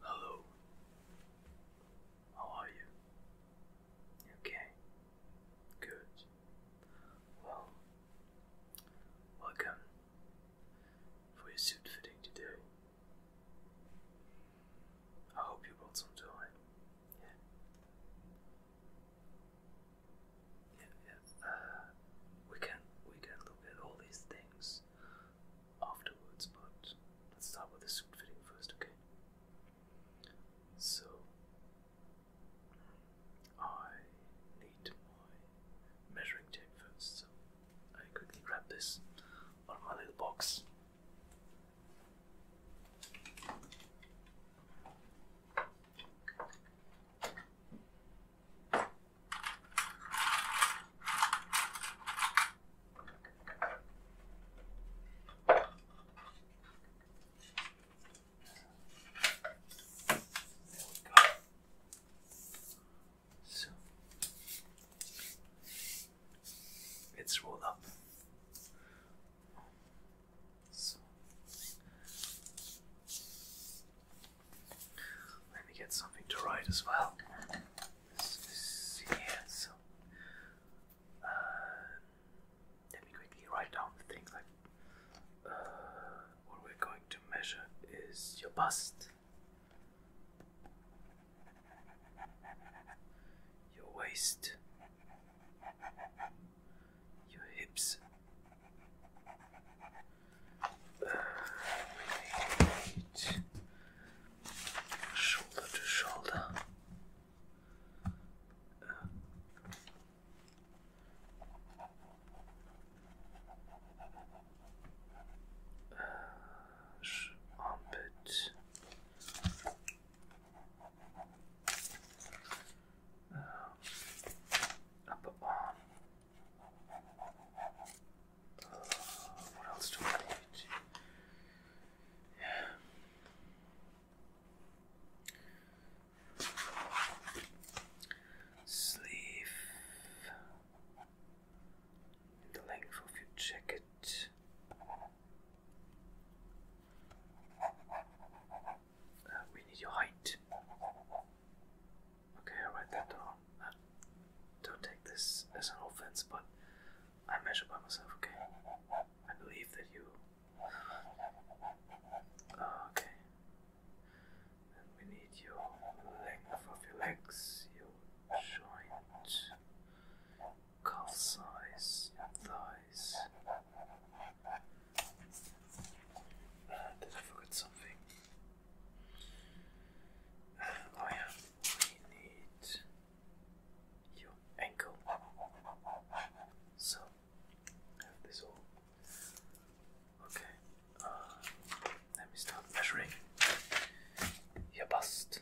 Hello. How are you? Okay. Good. Well, welcome for your suit fitting today. I hope you brought some time. Yeah. Yeah, yeah. Uh, we can we can look at all these things afterwards, but let's start with the suit fitting first, okay? So I need my measuring tape first, so I quickly grab this on my little box. So it's rolled up. So let me get something to write as well. Uh, let me quickly write down the things like uh, what we're going to measure is your bust, your waist, your hips, shoulder to shoulder. armpit. upper arm what else do I need? Yeah. Sleeve the length of your jacket. Uh, we need your height. Okay, i write that down. don't take this as an offense, but I measure by myself, okay? I believe that you. Ah, okay. we need your length of your legs, your joint, cuff size, thighs. Ah, did I forget something? Oh yeah, we need your ankle. So I have this all. Okay. Uh, let me start measuring your bust.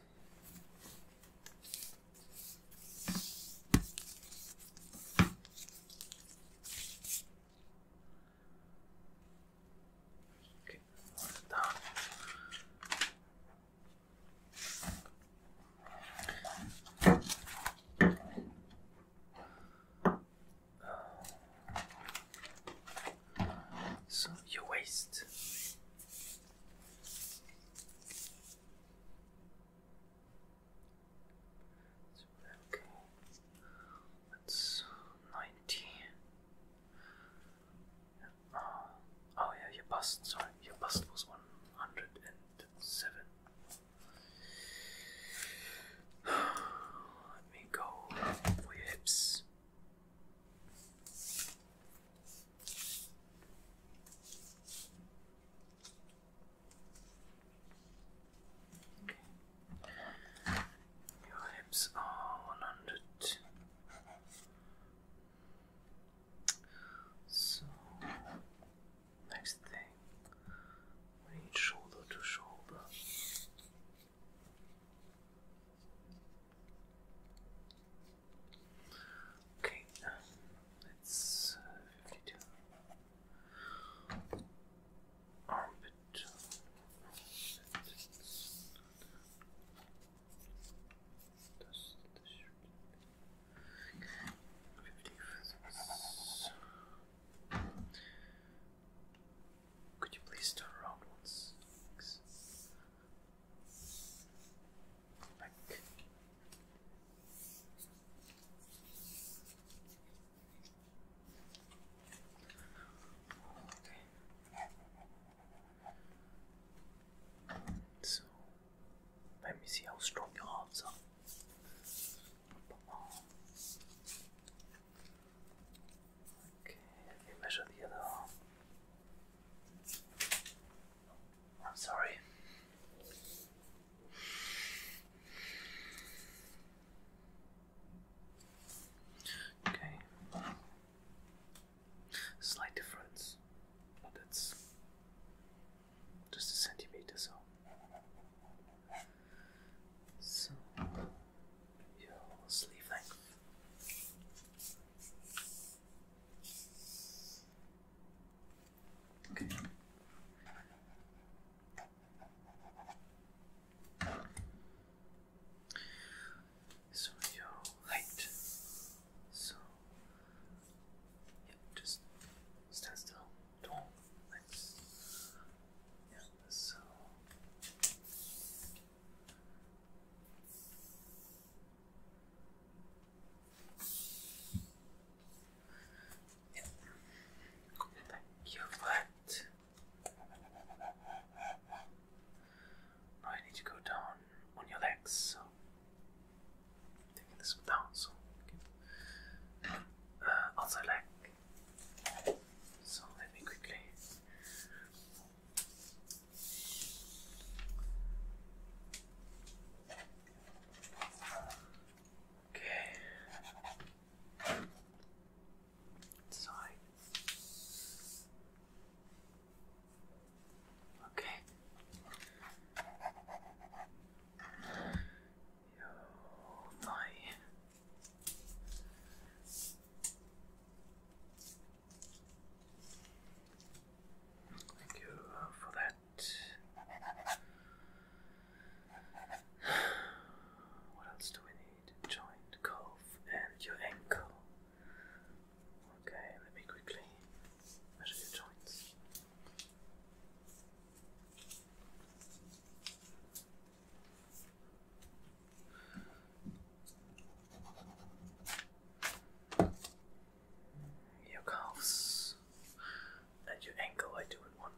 So you waste. Okay, that's ninety. Uh, oh yeah, your bust. Sorry, your bust was one hundred and seven. Let me go for your hips. Your hips are 100. So, next thing, we need shoulder to shoulder. Okay, um, it's uh, armpit. Could you please turn around once? Thanks. So let me see how strong your arms are. Okay, let me measure the other arm. I'm sorry. Okay. Slight difference, but it's just a centimeter so. So your sleeve length. Okay so your height. So just stand still. Don't let yeah, so yeah. Thank you for that. I need to go down on your legs, so taking this down so okay. Uh, leg. So let me quickly Okay. Sorry. Okay. Your Thank you uh, for that. What else do we need? joint, calf, and your ankle. Okay, let me quickly measure your joints. Your calves and your ankle, I do in one.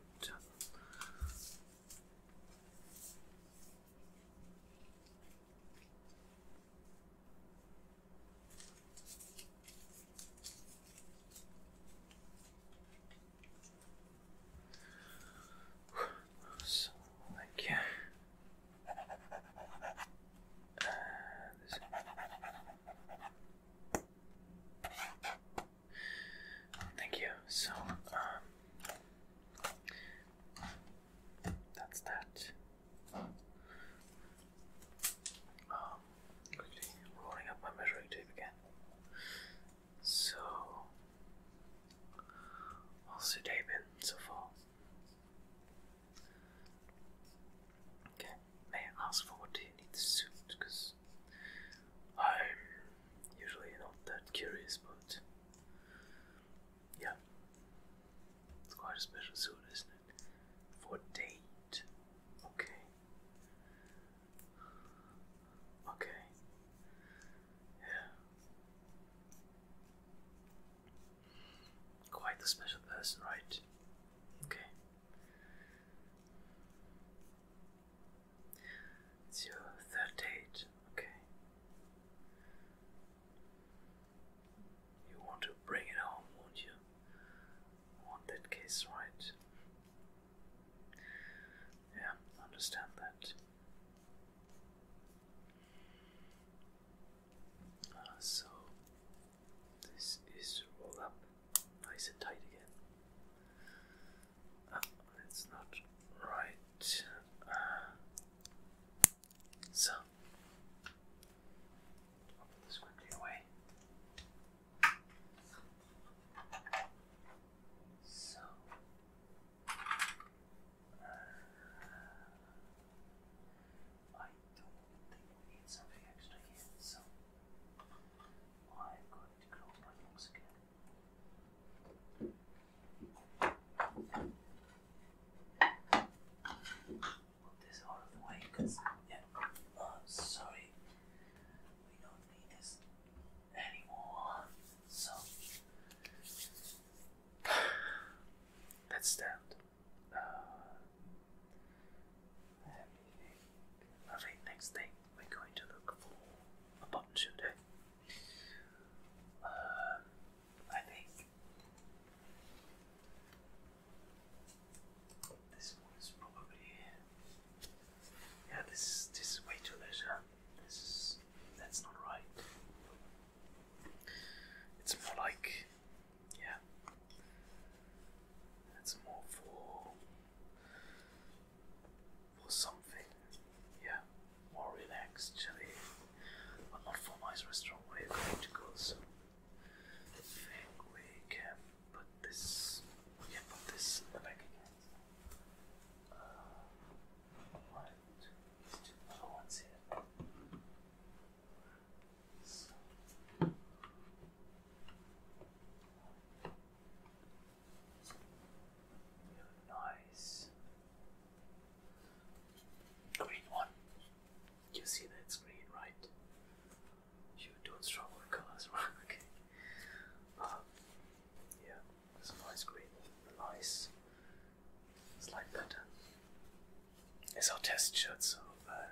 So, like, yeah. thank you. So, um, that's that. Um, quickly rolling up my measuring tape again. So, how's your day been so far? Okay, may I ask for what do you need the suit? Because I'm usually not that curious, but yeah. It's quite a special suit, isn't it? For date. Okay. Okay. Yeah. Quite the special person, right? Okay. It's your third date. Okay. You want to bring it home, won't you? want that kiss, right? Yeah, understand that. Uh, so this is rolled up nice and tight again. Uh, ah, it's not right uh, so, quickly away. So, uh, I don't think we need something extra here, so I'm going to close my box again. Put this out of the way because, yeah, uh, sorry, we don't need this anymore. So, that's stamped. Uh, next thing we're going to look for a button shooter. Um, I think this one is probably yeah. This this is way too leisure. This is that's not right. It's more like yeah. It's more for for something. Yeah, more relaxed, actually. but not for nice restaurant we're going to go soon. I think we can put this we can put this in the back again. Uh right, these here. So. nice Green one. You see that it's green, right? You don't struggle with colors, right? okay. Um, yeah, it's a nice green, a it's like better. Uh, it's our test shirt, so uh,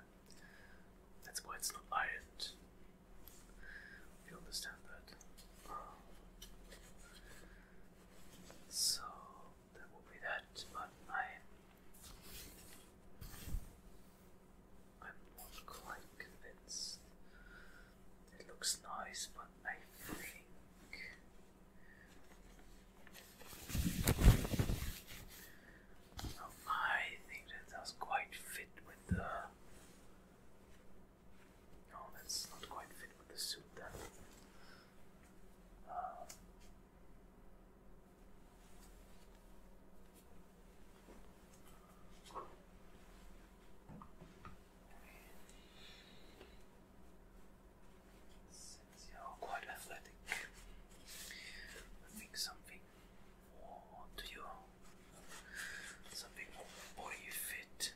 that's why it's not ironed. you understand that. Um, so that will be that, but I I'm not quite convinced. It looks nice, but I think oh, I think that does quite fit with the no, that's not quite fit with the suit then. Since you're quite athletic, I something more to you, something more body fit.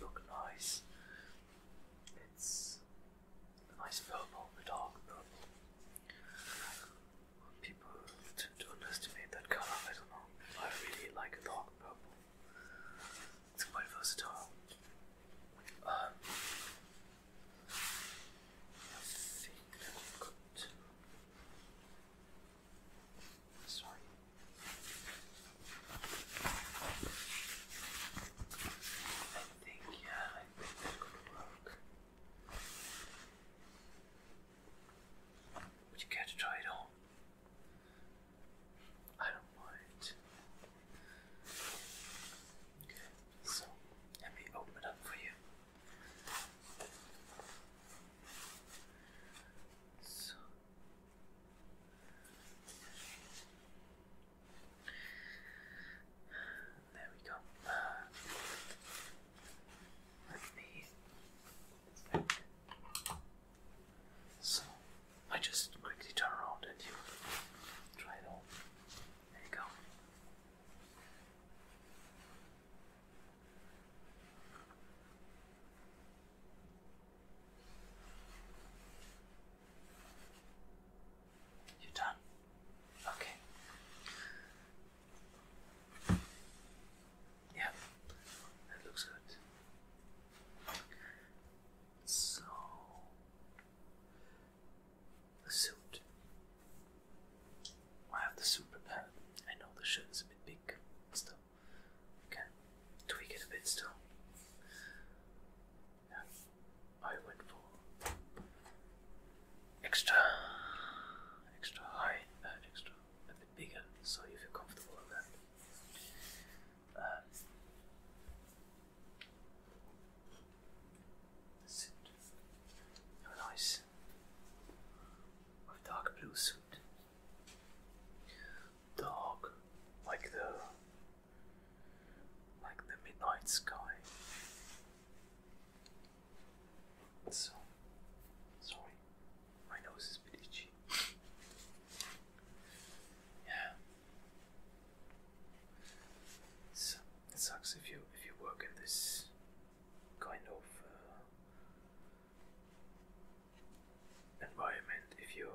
look nice it's a nice purple, a dark purple. People tend to underestimate that color, I don't know. I really like dark purple. It's quite versatile. I think that we Sorry. I think, yeah, I think that could work. Would you care to try it on? I don't mind. Okay, so let me open it up for you. So, there we go. let me So I just quickly turn around and you try it on. There you go. You're done. Okay. Yeah, that looks good. So, the suit. I have the suit prepared. I know the shirt a bit big, but still, okay tweak it a bit still. Yeah, I went for extra, extra high extra a bit bigger, so you feel comfortable with that. Um, that's it. Have dark blue suit. Dark, like the like the midnight sky. So, sorry, my nose is a yeah, so, it sucks if you if you work in this kind of uh, environment. If you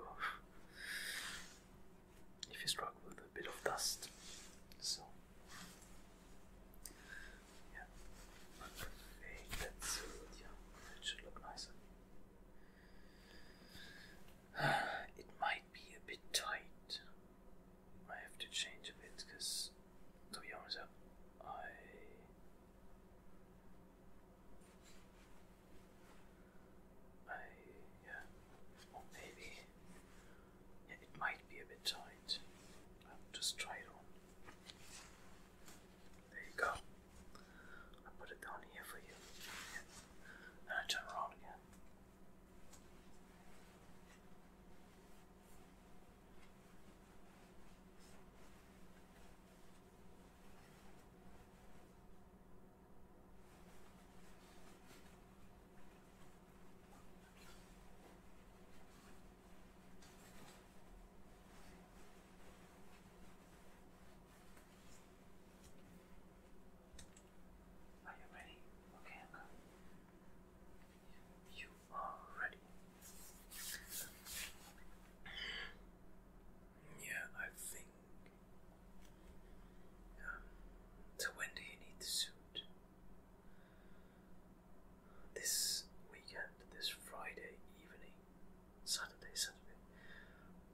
if you struggle with a bit of dust. So, yeah, but hey, that's yeah, that should look nicer. it might be a bit tight. I have to change a bit because, to be honest, I I, yeah, or maybe yeah, it might be a bit tight. I'll just try it on. There you go. I put it down here for you, and I turn around again. Are you ready? Okay, You are ready. Yeah, I think so when do you need the suit? This weekend, this Friday evening, Saturday, Saturday.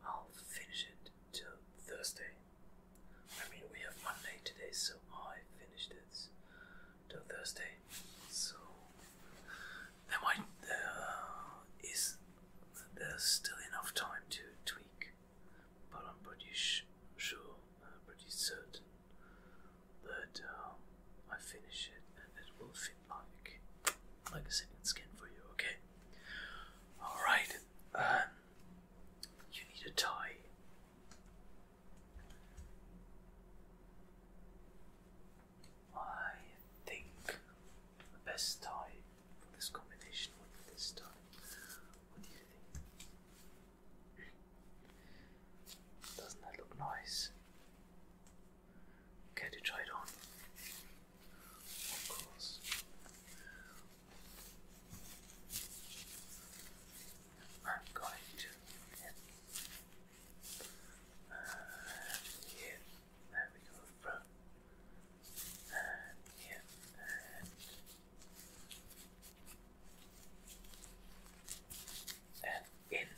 I'll finish it till Thursday. I mean, we have Monday today, so I finished it till Thursday. So uh, there might there is there's still enough time to tweak but I'm pretty sure, I'm uh, pretty certain that um, I finish it and it will fit like like a second skin for you. Okay. All right. Um, you need a tie. I think the best tie for this combination with this time. What do you think? Doesn't that look nice? Care to try it on? Of course. I'm going to uh, here. There we go, front. And yeah, and and in.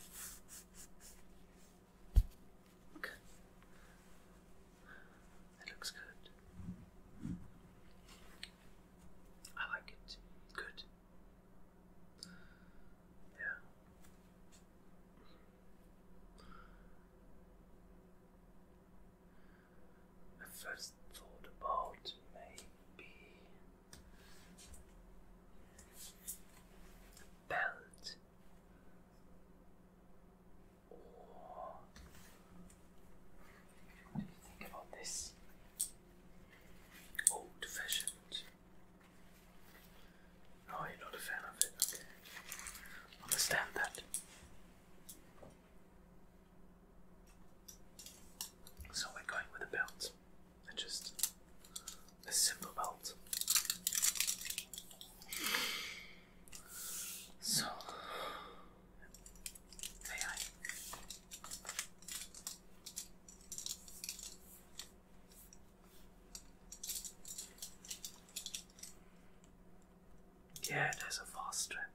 Okay. That looks good. I like it. Good. Yeah. I first thought about maybe belt or think about this? Old fashioned. No, you're not a fan of it, Understand that. So we're going with a belt, just a simple belt. So, yeah, there's a fast trap.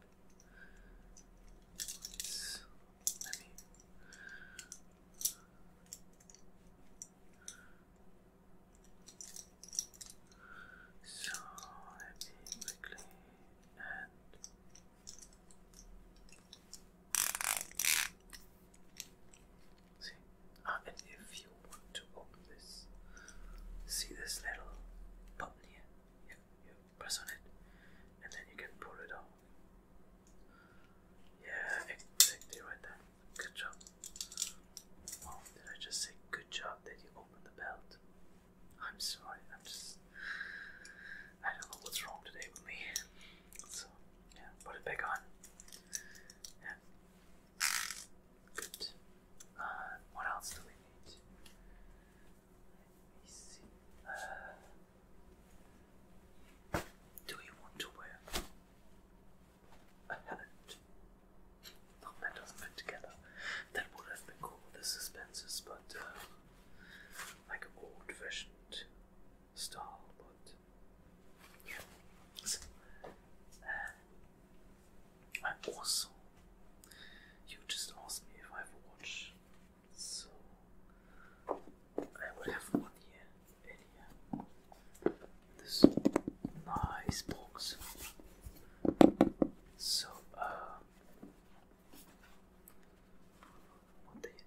So let me quickly and. Uh, see, uh, if you want to open this, see this little button here. You, press on it, and then you can pull it off. Yeah, exactly right there. Good job. Oh, did I just say good job that you open the belt? I'm sorry, I'm just. I don't know what's wrong today with me. So, yeah, put it back on. Yeah. Good. Uh, what else do we need? Let me see. Uh, do you want to wear a hat? No, that doesn't fit together. That would have been cool the suspensors, but uh, like old fashioned style, but yeah. I also, you just asked me if I have a watch, so I will have one here and here. This nice box. So, uh, what do you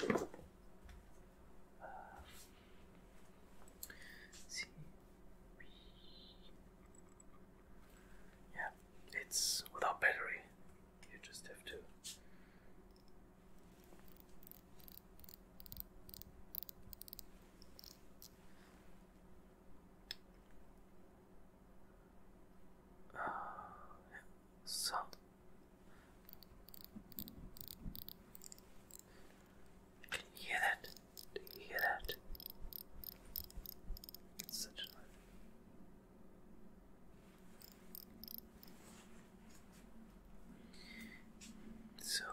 think? Uh, yeah, it's without battery. You just have to. Uh, So. Can you hear that? Do you hear that? such a noise. So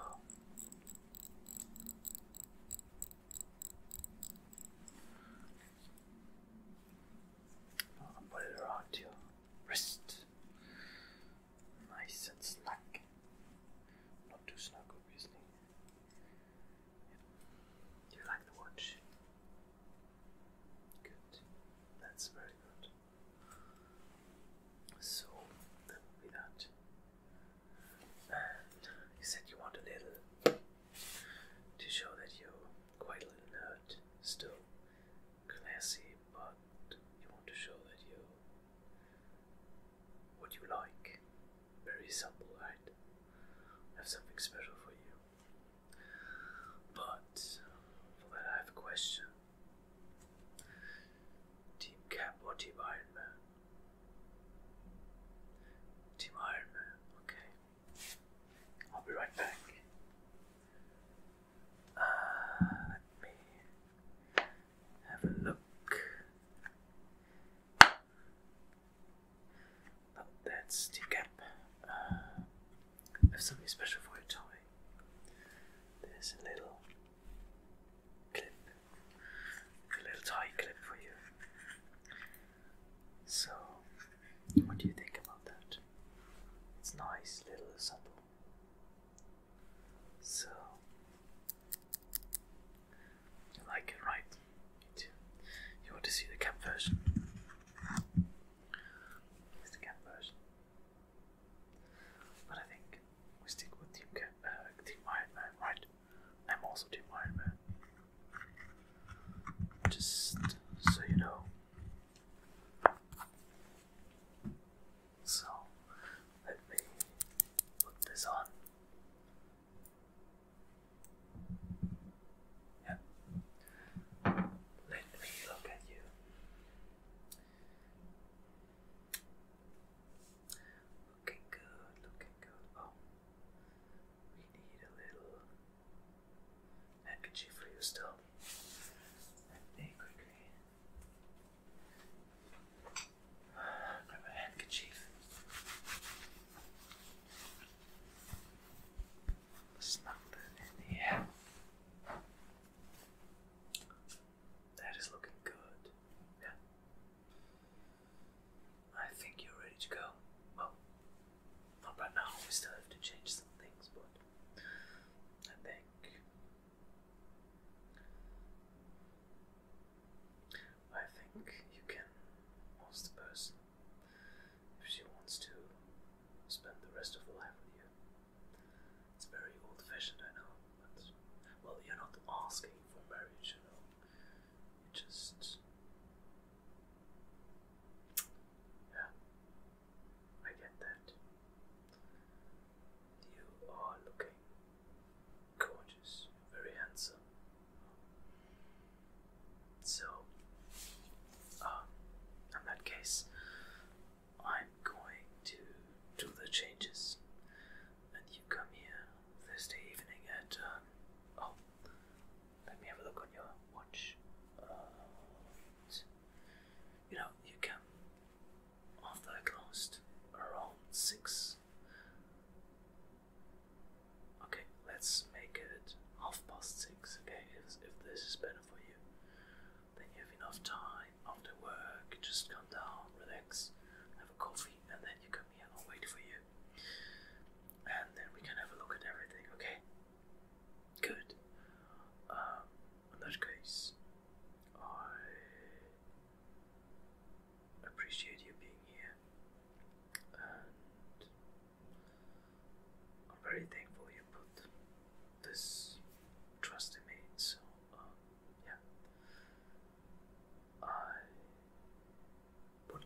I'll put it around your wrist. Nice and snug. Not too snug obviously. Do you like the watch? Good. That's very good. So that will be that. And you said you want a little to show that you're quite a little nerd, still classy, but you want to show that you what do you like? Very simple, right? I have something special for you. But for that, I have a question. Team Cap or Team Iron Man? Team Iron Man, okay. I'll be right back. Uh, let me have a look. Oh, that's the cap. I have something special for you, toy. There's a little clip, a little tie clip for you. So, what do you think about that? It's nice, little, simple. So, you like it, right? You want to see the cap version? the cap version. But I think we stick with Team, cap, uh, team Iron Man, right? I'm also Team Iron Man. Just so you know. So, let me put this on. Yeah. Let me look at you. Looking good, looking good. Oh, we need a little handkerchief for you still. Let me quickly Grab a handkerchief. Snug that in here. That is looking good. Yeah. I think you're ready to go. Well, not right now. We still have to change some things, but I think I think you can ask the person if she wants to spend the rest of her life with you. It's very old fashioned, I know, but well, you're not asking for marriage, you know, you just. Yeah, I get that. You are looking gorgeous, very handsome. So, um, in that case, I'm going to do the changes, and you come here Thursday evening at. Um, oh, let me have a look on your watch. Uh, you know, you come after I around six. Okay, let's make it half past six, okay? If, if this is better for you, then you have enough time after work, just come down, relax, have a coffee, and then you come here I'll wait for you. And then we can have a look at everything, okay? Good. Um, in that case, I appreciate you being here, and I'm very thankful you put this trust in me. So, um, yeah, I would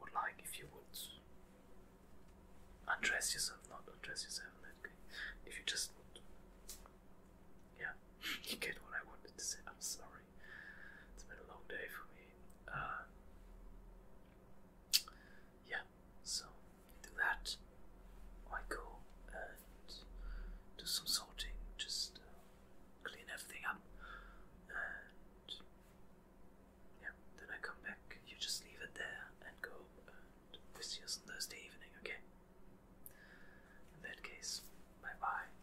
would like if you would undress yourself, not undress yourself. Okay, if you just yeah, you get what I wanted to say. I'm sorry. It's been a long day for me. Uh, yeah, so do that. I go and do some sorting, just uh, clean everything up, and yeah, then I come back. You just leave it there and go and visit us on Thursday evening, okay? In that case, bye bye.